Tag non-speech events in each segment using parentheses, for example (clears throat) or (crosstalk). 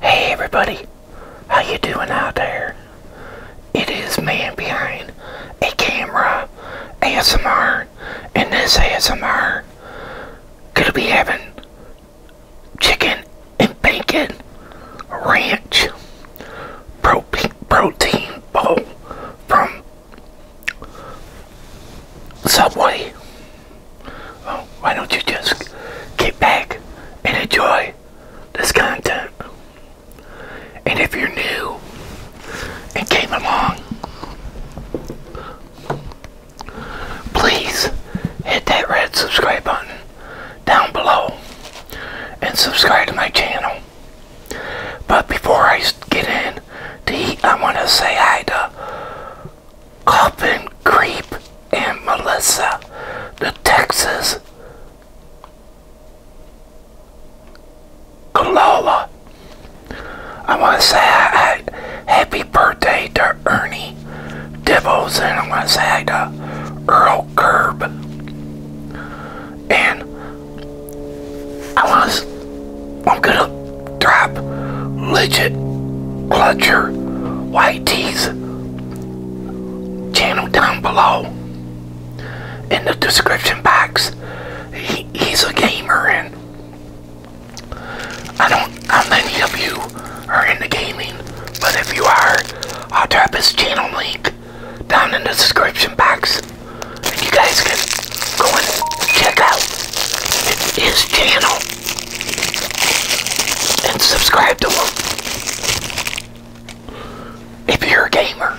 Hey everybody, how you doing out there? It is man behind a camera ASMR and this ASMR gonna be having chicken and bacon ranch protein protein bowl from Subway why don't you just get back and enjoy this content? And if you're new and came along, please hit that red subscribe button down below and subscribe to my channel. But before I get in I want to say hi to Coffin Creep and Melissa, the Texas Kalola. I want to say I, I, happy birthday to Ernie Dibbles and I want to say hi to Earl Curb. And I want to, I'm going to drop legit clutcher white tees channel down below in the description box he's a gamer and I don't know many of you are into gaming but if you are I'll drop his channel link down in the description box and you guys can go and check out his channel and subscribe to them if you're a gamer.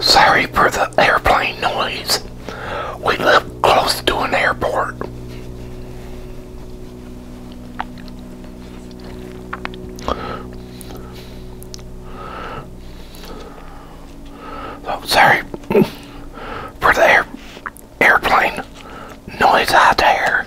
Sorry for the airplane noise. We live close to an airport. I'm sorry (laughs) for the air airplane noise out there.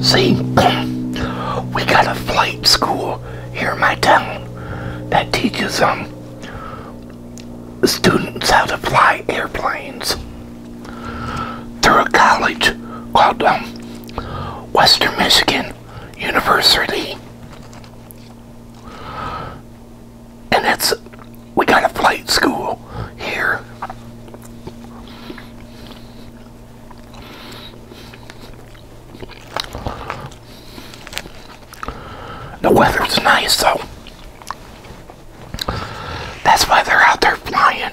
See, (clears throat) we got a flight school here in my town that teaches um, students how to fly airplanes through a college called um, Western Michigan University. And it's, we got a flight school here. The weather's nice though. That's why they're out there flying.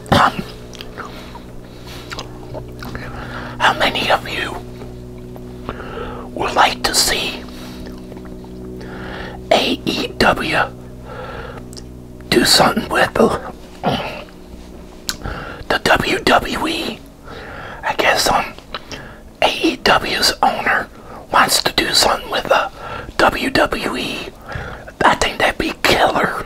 um, how many of you would like to see AEW do something with the, the WWE? I guess um, AEW's owner wants to do something with the WWE. I think that'd be killer.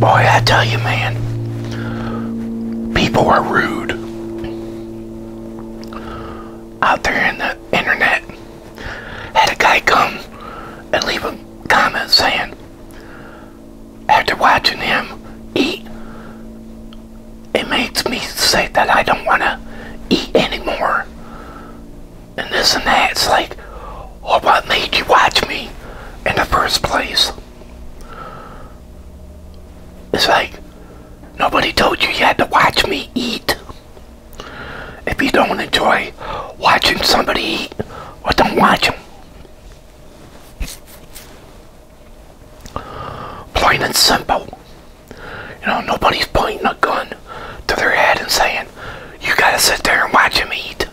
Boy, I tell you, man, people are rude out there in the internet. Had a guy come and leave a comment saying, after watching him eat, it makes me say that I don't want to eat anymore. And this and that. It's like, or what made you watch me in the first place. It's like nobody told you you had to watch me eat. If you don't enjoy watching somebody eat, or don't watch them. Plain and simple. You know, nobody's pointing a gun to their head and saying, you gotta sit there and watch them eat.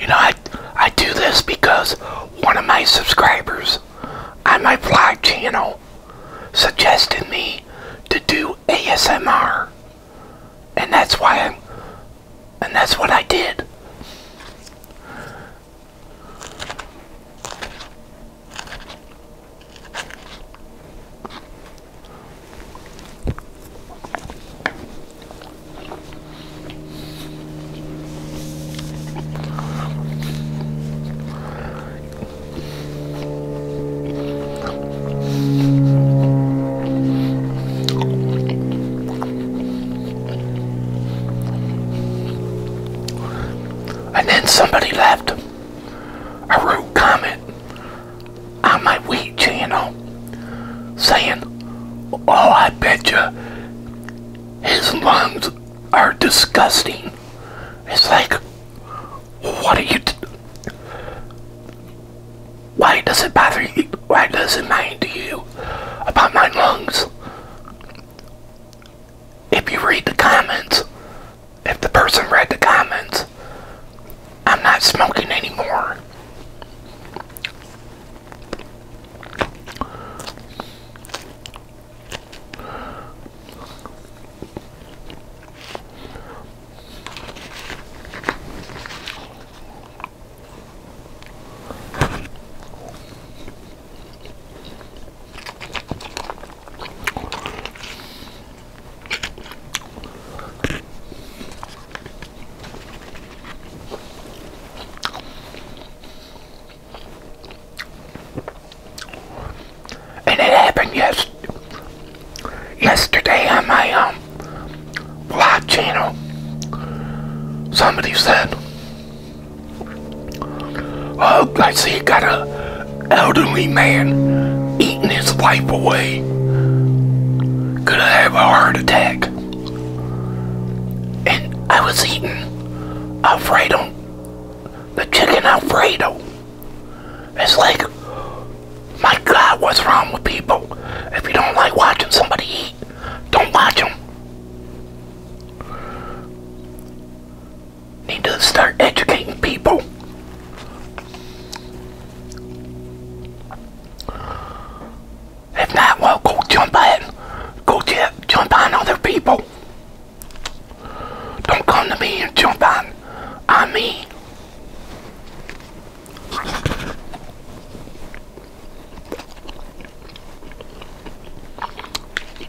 You know, I, I do this because one of my subscribers on my vlog channel suggested me to do ASMR. And that's why I'm, and that's what I did. And then somebody left a rude comment on my wheat channel saying, Oh, I bet you his lungs are disgusting. It's like, what are you? Why does it bother you? Why does it matter to you about my lungs? if you read the comments, if the person read the comments, I'm not smoking anymore. And it happened yesterday on my um vlog channel. Somebody said Oh, I see you got a elderly man eating his wife away. Gonna have a heart attack. And I was eating Alfredo, the chicken Alfredo. It's like, my God, what's wrong with people? If you don't like watching somebody eat, don't watch them. Need to start educating people. If not, well, go jump on, go jump on other people. Don't come to me and jump on, on me.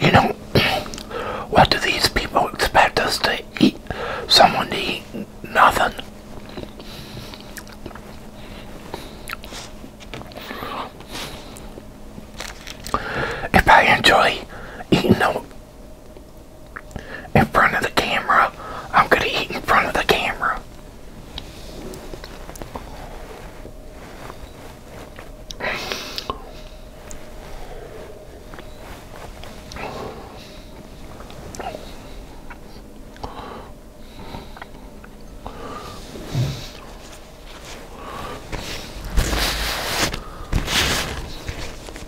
You know, what do these people expect us to eat? Someone to eat nothing. If I enjoy eating a in front of the camera, I'm going to eat in front of the camera.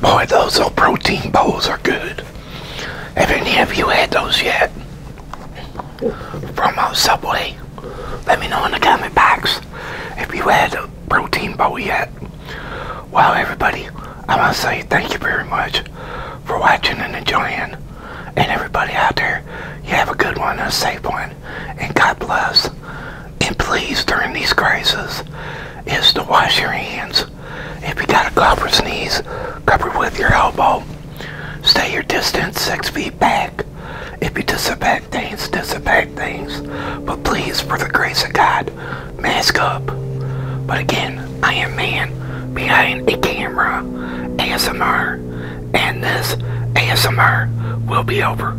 Boy, those old protein bowls are good. Have any of you had those yet? From uh, Subway? Let me know in the comment box if you had a protein bowl yet. Well, everybody, I want to say thank you very much for watching and enjoying. And everybody out there, you have a good one, a safe one, and God bless and please during these crises is to wash your hands. If you got a cough or sneeze, cover with your elbow. Stay your distance six feet back. If you disinfect things, disinfect things. But please, for the grace of God, mask up. But again, I am man behind a camera, ASMR, and this ASMR will be over.